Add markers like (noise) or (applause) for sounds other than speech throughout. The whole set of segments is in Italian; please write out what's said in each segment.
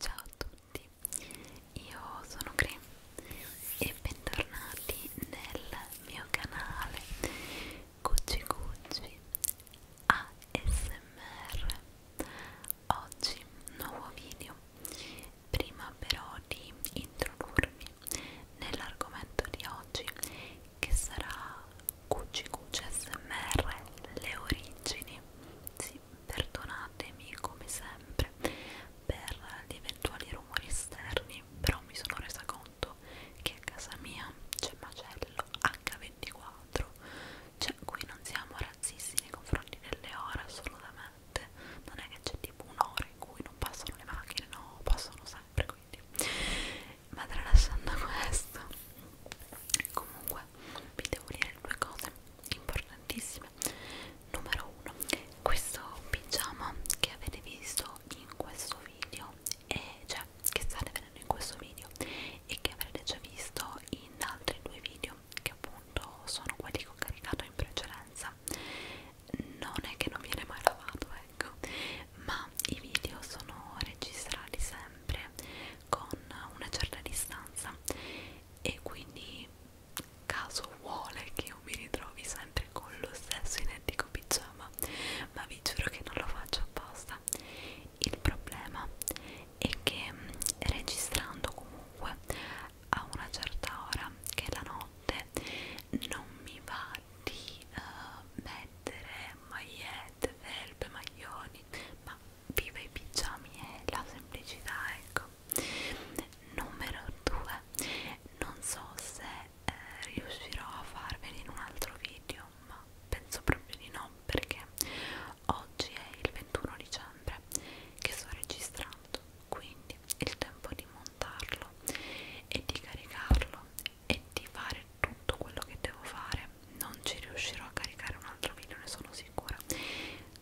Ciao a tutti, io sono Gre e bentornati nel mio canale Gucci Gucci ASMR oggi nuovo video prima però di introdurvi nell'argomento di oggi che sarà Gucci Gucci ASMR le origini sì, perdonatemi come sempre per gli eventuali rumori esterni però mi sono resa conto noto che a casa mia c'è macello H24 cioè qui non siamo razzisti nei confronti delle ore assolutamente non è che c'è tipo un'ora in cui non passano le macchine no, passano sempre quindi ma tralasciando questo comunque vi devo dire due cose importantissime numero uno questo pigiama che avete visto venendo in questo video e cioè che sta venendo in questo video e che avrete già visto in altri due video che appunto sono quelli che ho caricato in precedenza non è che non viene mai lavato ecco ma i video sono registrati sempre con una certa distanza e quindi caso vuole che io mi ritrovi sempre con lo stesso identico pigiama ma vi giuro che non lo faccio apposta il problema è che mm, registrando comunque a una certa ora che è la notte non mi va di uh, mettere magliette, felpe, maglioni ma viva i pigiami e la semplicità ecco numero 2 non so se eh, riuscirò a farveli in un altro video ma penso proprio di no perché oggi è il 21 dicembre che sto registrando quindi il tempo di montarlo e di caricarlo e di fare tutto quello che devo fare non ci riuscirò a caricare un altro video ne sono sicura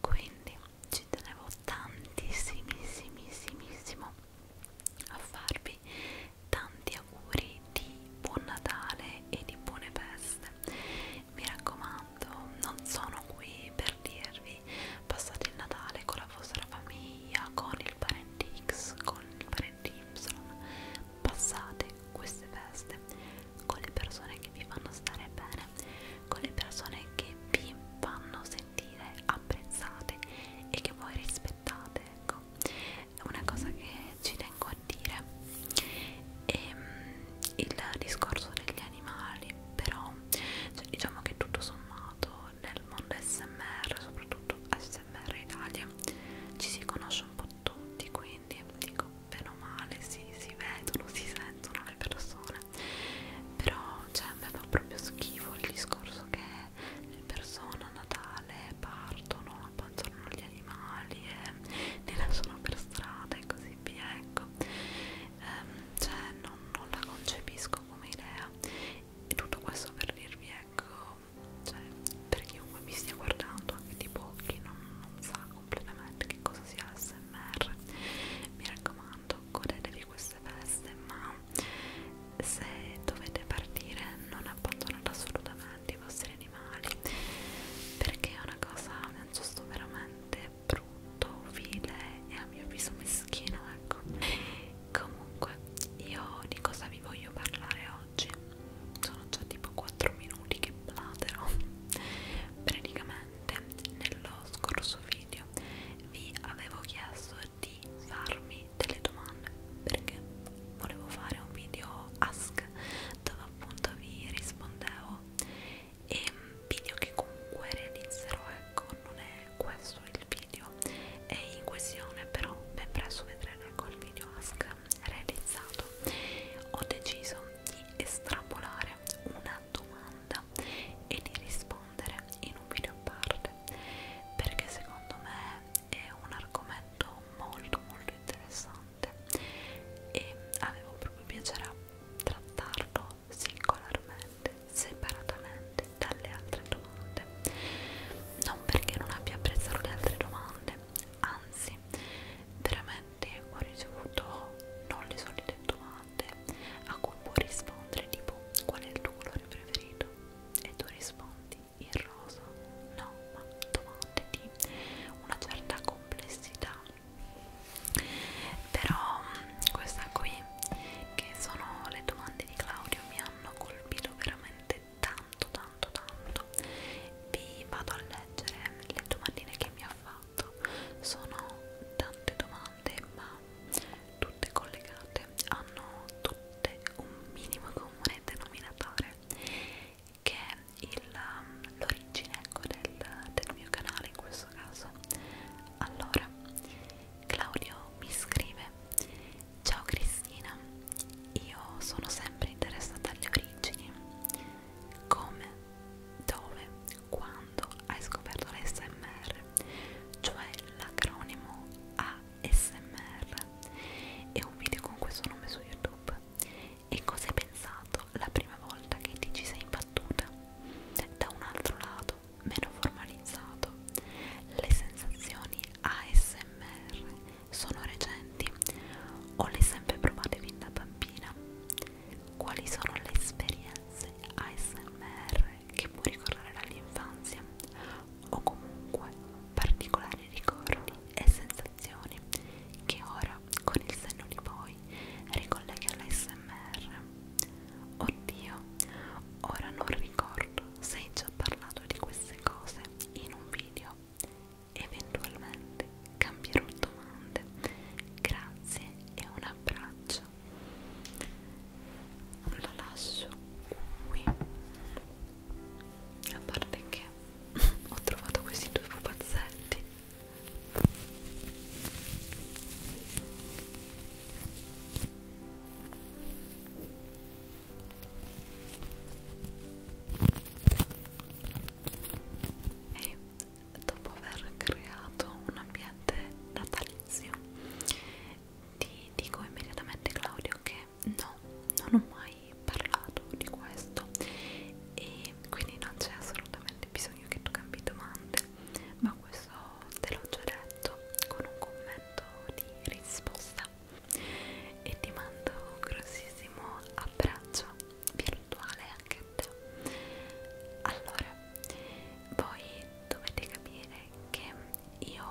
quindi ci tenevo tantissimissimissimo a farvi tanti auguri di buon Natale e di buone feste mi raccomando non sono qui per dirvi passate il Natale con la vostra famiglia con il parente X con il parente Y passate queste feste con le persone che vi fanno stare bene con le persone che vi fanno sentire apprezzate e che voi rispettate ecco è una cosa che ci tengo a dire e ehm, il discorso degli animali però cioè, diciamo che tutto sommato nel mondo smr soprattutto smr Italia ci si conosce un po' tutti quindi dico bene o male si, si vedono si sentono le persone però cioè, mi fa proprio schifo il discorso che le persone a Natale partono, abbandonano gli animali e li lasciano per strada e così via, ecco. Ehm, cioè non, non la concepisco come idea. E tutto questo per dirvi, ecco, cioè, per chiunque mi stia guardando, anche di pochi, non, non sa completamente che cosa sia l'SMR. Mi raccomando, godetevi questo queste feste ma se dovete partire non abbandonate assolutamente i vostri animali perché è una cosa un giusto veramente brutto, vile e a mio avviso meschino ecco comunque io di cosa vi voglio parlare oggi sono già tipo 4 minuti che platero praticamente nello scorso video vi avevo chiesto di farmi delle domande perché volevo fare un video ask dove appunto vi rispondevo e un video che comunque realizzerò ecco non è questo il video è in questione però ben presto vedrete ecco il video ask realizzato ho deciso di estrapolare una domanda e di rispondere rispondere in un video a parte perché secondo me è un argomento molto molto interessante e avevo proprio piacere a trattarlo singolarmente, separatamente dalle altre domande non perché non abbia apprezzato le altre domande anzi veramente ho ricevuto non le solite domande a cui puoi rispondere tipo qual è il tuo colore preferito detto e tu rispondi il rosa no ma domande di una certa complessità però mm, questa qui che sono le domande di Claudio mi hanno colpito veramente tanto tanto tanto vi vado a leggere le domandine che mi ha fatto sono tante domande domande ma tutte collegate hanno tutte un minimo comune denominatore che è um, l'origine ecco, del, del mio canale in questo caso allora Claudio mi scrive ciao Cristina io sono sempre interessata alle origini come, dove, quando hai scoperto l'SMR cioè l'acronimo ASMR. È un video con questo nome su YouTube. E cosa hai pensato la prima volta che ti ci sei imbattuta? Da un altro lato, meno formalizzato, le sensazioni ASMR sono recenti o le sempre provate fin da bambina? Quali sono le esperienze ASMR che può ricordare dall'infanzia o comunque particolari ricordi e sensazioni che ora con il senno di poi ricolleghi all'ASMR. Oddio, ora non ricordo se hai già parlato di queste cose in un video. Eventualmente cambierò domande. Grazie e un abbraccio la lascio qui a parte che (laughs) ho trovato questi due pupazzetti e dopo aver creato un ambiente natalizio ti dico immediatamente Claudio che no, non ho mai parlato di questo e quindi non c'è assolutamente bisogno che tu cambi domande, ma questo te l'ho già detto con un commento di risposta e ti mando un grossissimo abbraccio virtuale anche a te allora voi dovete capire che io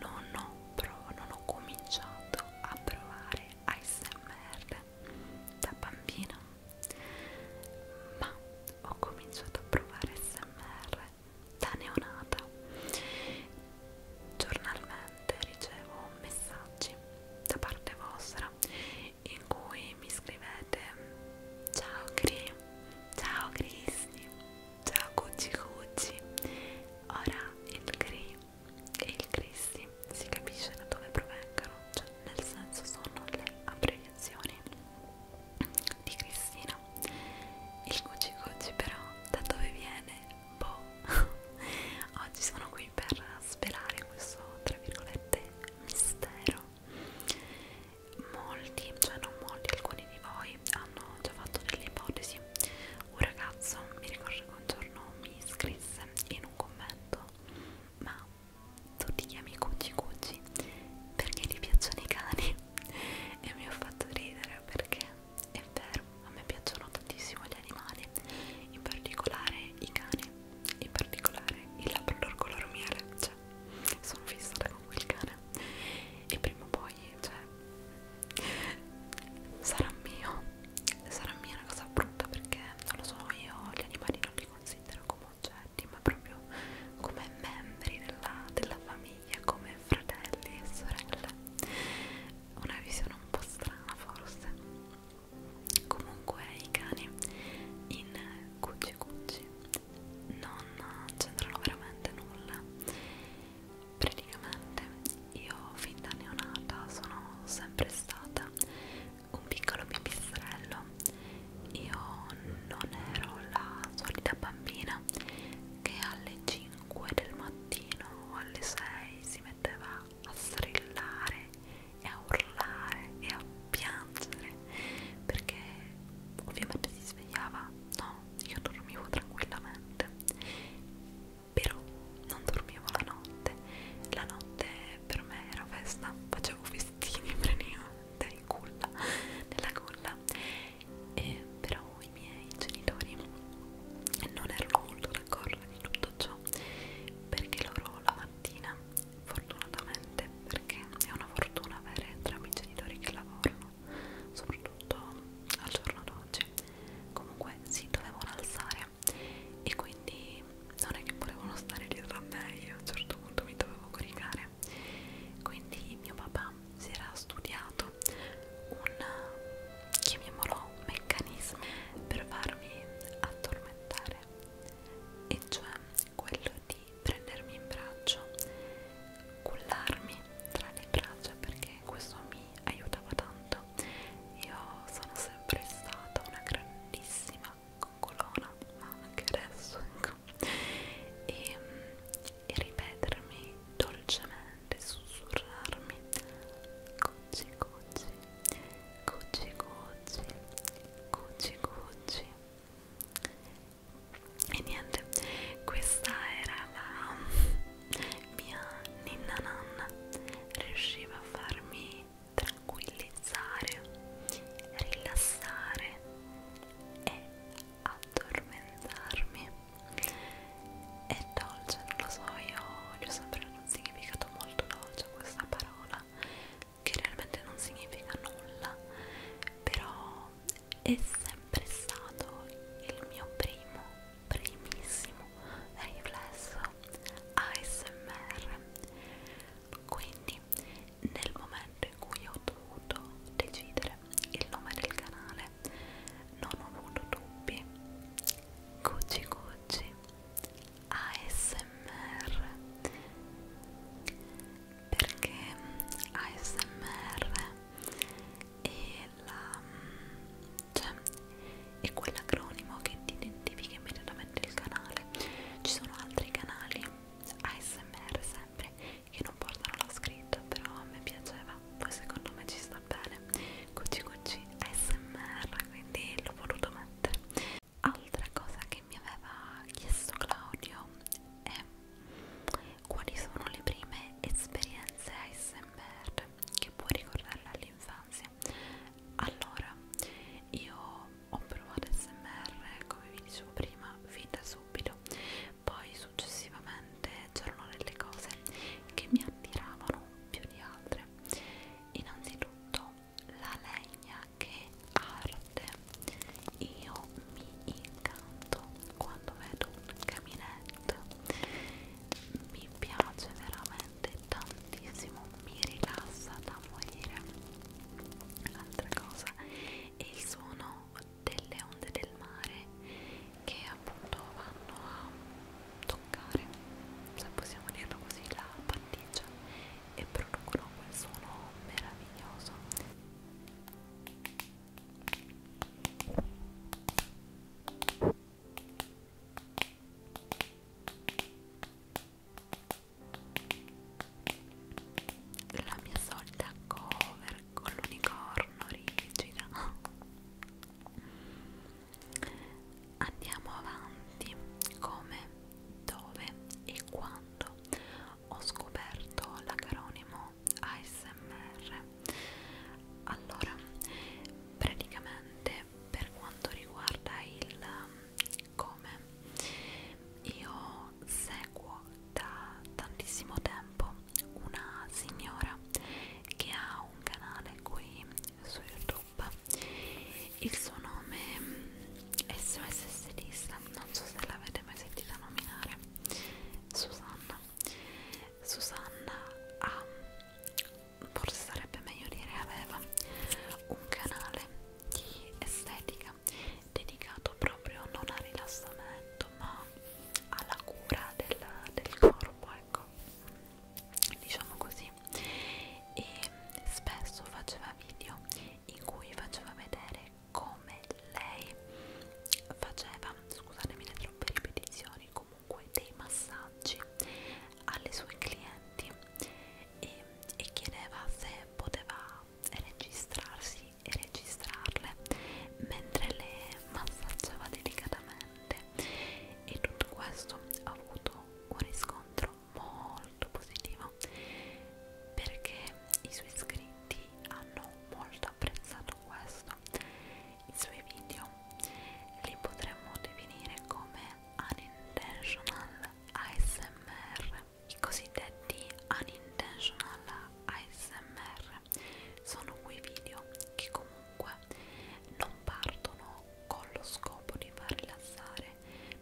non ho, non ho cominciato a provare ASMR da bambina, ma ho cominciato a provare ASMR da neonata. Giornalmente ricevo messaggi da parte vostra in cui mi scrivete ciao Cri, ciao Cristi già Gucci Gucci ora il gri e il crissi si capisce da dove provengano cioè nel senso sono le abbreviazioni di Cristina il Gucci Gucci però da dove viene? boh (laughs) oggi sono qui per svelare questo tra virgolette mistero molti, cioè non molti, alcuni di voi hanno già fatto delle ipotesi un ragazzo, mi ricordo che un giorno mi scrisse in un commento ma tu ti chiami Cucci Cucci perché ti piacciono i cani (laughs) e mi ho fatto ridere perché è vero, a me piacciono tantissimo gli animali in particolare i cani in particolare il labrador color miele, cioè cioè, sono fissata con quel cane e prima o poi, cioè, sarà mio, sarà mia una cosa brutta perché non lo so, io gli animali non li considero come oggetti, ma proprio come membri della, della famiglia, come fratelli e sorelle. Una visione un po' strana forse. Comunque i cani in Cucci Cucci non c'entrano veramente nulla praticamente io fin da neonata sono sempre stata un piccolo pipistrello io non ero la solita bambina che alle 5 del mattino o alle 6 si metteva a strillare e a urlare e a piangere perché ovviamente si svegliava no, io dormivo tranquillamente però non dormivo la notte la notte per me era festa facevo festini (laughs) praticamente in culla nella culla e però i miei genitori non erano molto d'accordo di tutto ciò perché loro la mattina fortunatamente perché è una fortuna avere entrambi i genitori che lavorano soprattutto al giorno d'oggi comunque si dovevano alzare e quindi non è che volevano stare dietro a me io a un certo punto mi dovevo coricare quindi mio papà si era studiato un chiamiamolo meccanismo per farmi addormentare e cioè quello di prendermi in braccio, cullarmi tra le braccia perché questo mi aiutava tanto. Io sono sempre stata una grandissima coccolona, ma anche adesso ecco. E, e ripetermi dolcemente, sussurrarmi cucci cucci, cucci cucci, cucci cucci e niente questa era la mia ninna nanna riusciva a farmi tranquillizzare rilassare e addormentarmi è dolce non lo so io gli ho sempre un significato molto dolce questa parola che realmente non significa nulla però è sempre stato il mio primo, primissimo riflesso ASMR quindi nel momento in cui ho dovuto decidere il nome del canale non ho avuto dubbi Gucci Gucci ASMR perché ASMR è, la, cioè, è quell'acronimo che ti identifica immediatamente il canale ci sono altri canali ASMR sempre che non portano la scritta però a me piaceva poi secondo me ci sta bene cucci cucci ASMR quindi l'ho voluto mettere altra cosa che mi aveva chiesto Claudio è quali sono le prime esperienze ASMR che puoi ricordare all'infanzia? Allora, io ho provato ASMR come vi dicevo prima, fin da subito, poi successivamente c'erano delle cose che mi attiravano più di altre. Innanzitutto la legna che arte io mi incanto quando vedo un caminetto mi piace veramente tantissimo mi rilassa da morire altra cosa è il suono delle onde del mare che appunto vanno a toccare se possiamo dirlo così la patticcia e producono quel suono meraviglioso la mia solita cover con l'unicorno rigida andiamo avanti come dove e quando ho scoperto l'acronimo ASMR allora praticamente per quanto riguarda il um, come io seguo da tantissimo tempo una signora che ha un canale qui su youtube il suo nome è SOS Stilista non so se l'avete mai sentita nominare Susanna Susanna ha ah, forse sarebbe meglio dire aveva un canale di estetica dedicato proprio non al rilassamento ma alla cura del, del corpo ecco diciamo così e spesso faceva video in cui faceva vedere come lei faceva, scusatemi le troppe ripetizioni, comunque dei massaggi alle sue clienti e, e chiedeva se poteva registrarsi e registrarle mentre le massaggiava delicatamente e tutto questo ha avuto un riscontro molto positivo realtà perché i suoi iscritti hanno molto apprezzato questo i suoi video li potremmo definire come unintentional ASMR i cosiddetti unintentional ASMR sono quei video che comunque non partono con lo scopo di far rilassare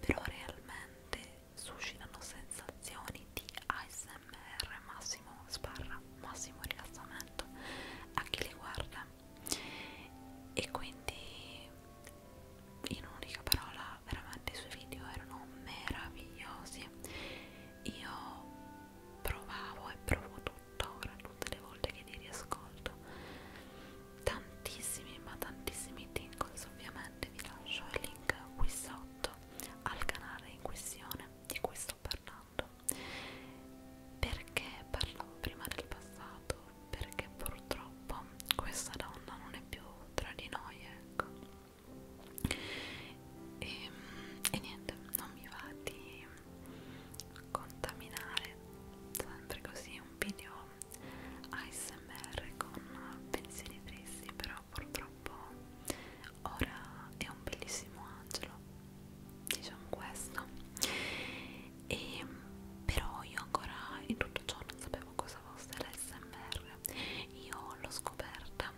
però realmente suscitano sensazioni di ASMR, massimo sbarra, massimo rilassamento a chi li guarda e quindi in un'unica parola veramente i suoi video erano meravigliosi io provavo e provo tuttora tutte le volte che li riascolto tantissimi ma tantissimi tingles ovviamente vi lascio il link qui sotto al canale in questione di cui sto parlando perché parlavo prima del passato perché purtroppo questa donna non è più tra di noi ecco e, ehm, e niente non mi va di contaminare sempre così un video ASMR con pensieri tristi però purtroppo ora è un bellissimo angelo diciamo questo e però io ancora in tutto ciò non sapevo cosa fosse l'SMR io l'ho scoperta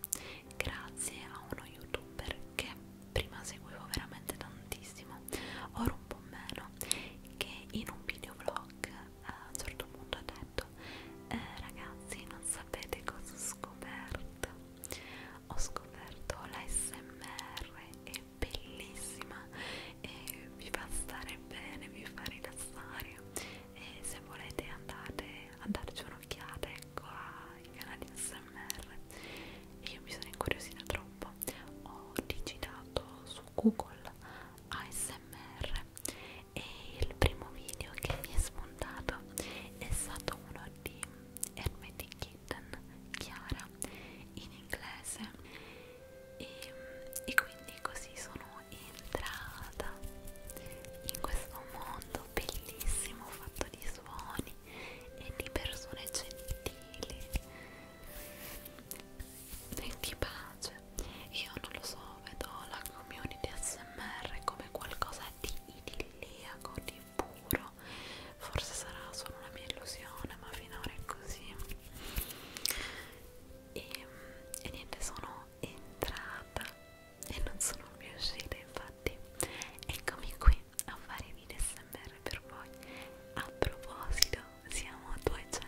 grazie a uno youtuber che prima seguivo veramente tantissimo ora un po' meno che in un videoblog a un certo punto ha detto eh, ragazzi non sapete cosa ho scoperto ho scoperto l'ASMR è bellissima e vi fa stare bene vi fa rilassare e se volete andate a darci un'occhiata ecco ai canali ASMR io mi sono incuriosita troppo ho digitato su Google ASMR e il primo video che mi è spuntato è stato uno di Hermetic Kitten Chiara in inglese e, e quindi così sono entrata in questo mondo bellissimo fatto di suoni e di persone gentili e di pace io non lo so, vedo la community smr come qualcosa di idilliaco, di puro forse sarà solo una mia illusione ma finora è così e, e niente, sono entrata e non sono più uscita infatti eccomi qui a fare i video smr per voi a proposito siamo a 200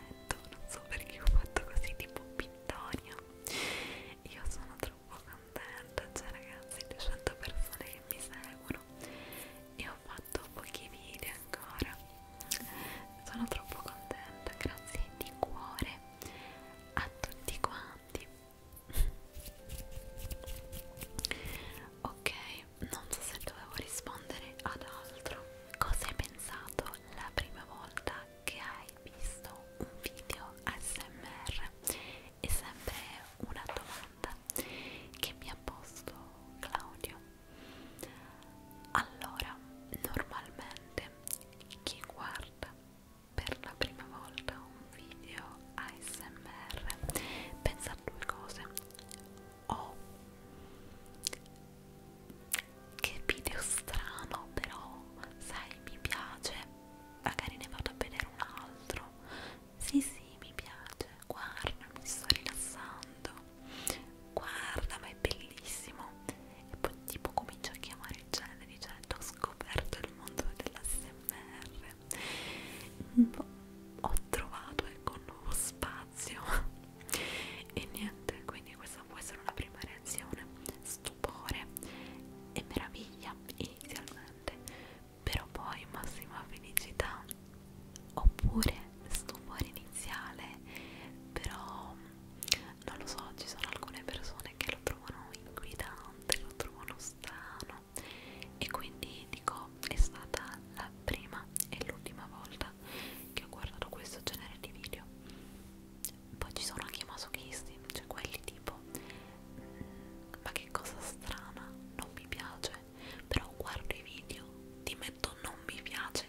non so perché ho fatto così tipo pittorio io sono troppo contenta cioè ragazzi 200 persone che mi seguono e ho fatto pochi video ancora sono troppo contenta grazie di cuore a tutti quanti ok non so se dovevo rispondere ad altro cosa hai pensato la prima volta che hai visto un video ASMR è sempre una domanda che mi ha posto Claudio allora normalmente chi guarda per la prima volta un video ASMR pensa a due cose o che video strano però sai mi piace magari ne vado a vedere un altro sì sì mi piace guarda mi sto rilassando guarda ma è bellissimo e poi tipo comincio a chiamare il genere dicendo ho scoperto il mondo dell'ASMR boh, ho trovato ecco un nuovo spazio (laughs) e niente quindi questa può essere una prima reazione sto stupore e meraviglia inizialmente, però poi massima felicità, oppure stupore iniziale, però non lo so, ci sono alcune persone che lo trovano inquietante, lo trovano strano e quindi dico è stata la prima e l'ultima volta che ho guardato questo genere di video poi ci sono anche i masochisti, cioè quelli tipo mm, ma che cosa strana, non mi piace, però guardo i video, ti metto non mi piace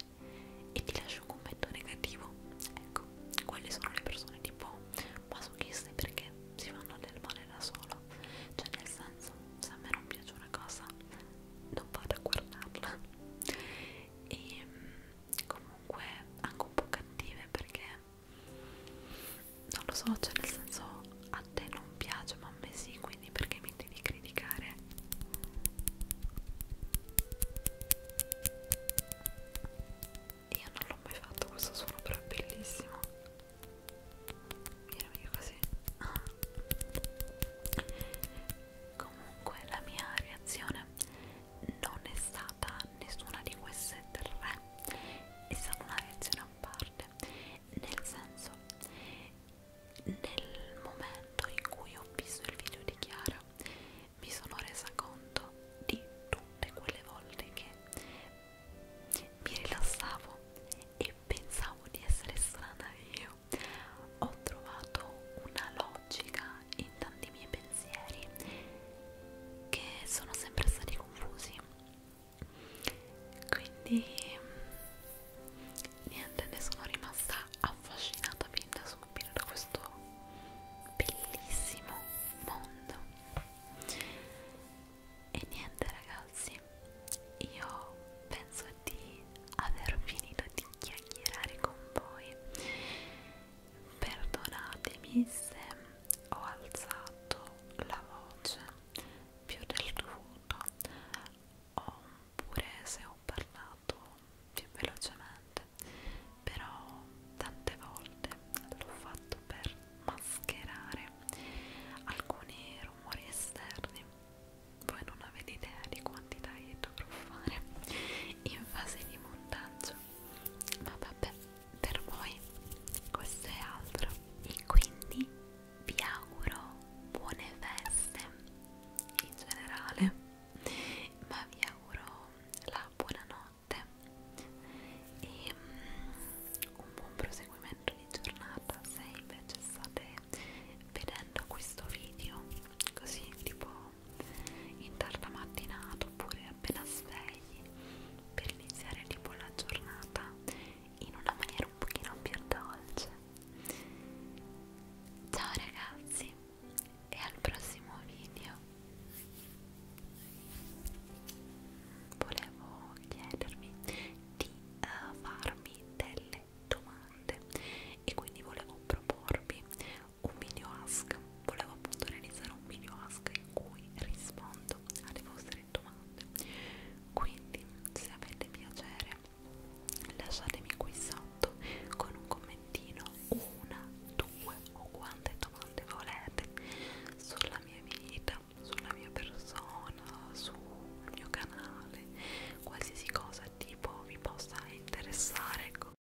e ti lascio un commento negativo. Ecco, quelle sono le persone tipo masochiste perché si fanno del male da solo, cioè nel senso se a me non piace una cosa non vado a guardarla. (laughs) E comunque mm, comunque anche un po' cattive perché non lo so, cioè nel senso a te non piace ma a me sì, quindi perché mi devi criticare? Io non l'ho mai fatto questo suono però è bellissimo Mirami così Comunque la mia reazione non è stata nessuna di queste tre è stata una reazione a parte nel senso nel momento in cui ho visto il video di Chiara mi sono resa conto di tutte quelle volte che mi rilassavo e pensavo di essere strana io ho trovato una logica in tanti miei pensieri che sono sempre stati confusi quindi niente ne sono rimasta affascinata fin da subito da questo bellissimo mondo e niente ragazzi io penso di aver finito di chiacchierare con voi Perdonatemi se ho alzato la voce più del dovuto oppure se ho parlato più velocemente, però tante volte l'ho fatto per mascherare alcuni rumori esterni. Voi non avete idea di quanti tagli dovrò fare in fase di montaggio ma vabbè per voi questo è altro e quindi vi auguro buone feste in generale ma vi auguro la buonanotte e mm, un buon proseguimento di giornata se invece state vedendo questo video così tipo intorno alla mattinata oppure appena svegli per iniziare tipo la giornata in una maniera un pochino più dolce ciao ragazzi e al prossimo video volevo chiedervi di uh, farmi delle domande e quindi volevo proporvi un video ask volevo appunto realizzare un video ask in cui rispondo alle vostre domande quindi se avete piacere lasciatemi qui sotto con un commentino una, due o quante domande volete sulla mia vita sulla mia persona sul mio canale qualsiasi cosa tipo vi possa interessare ecco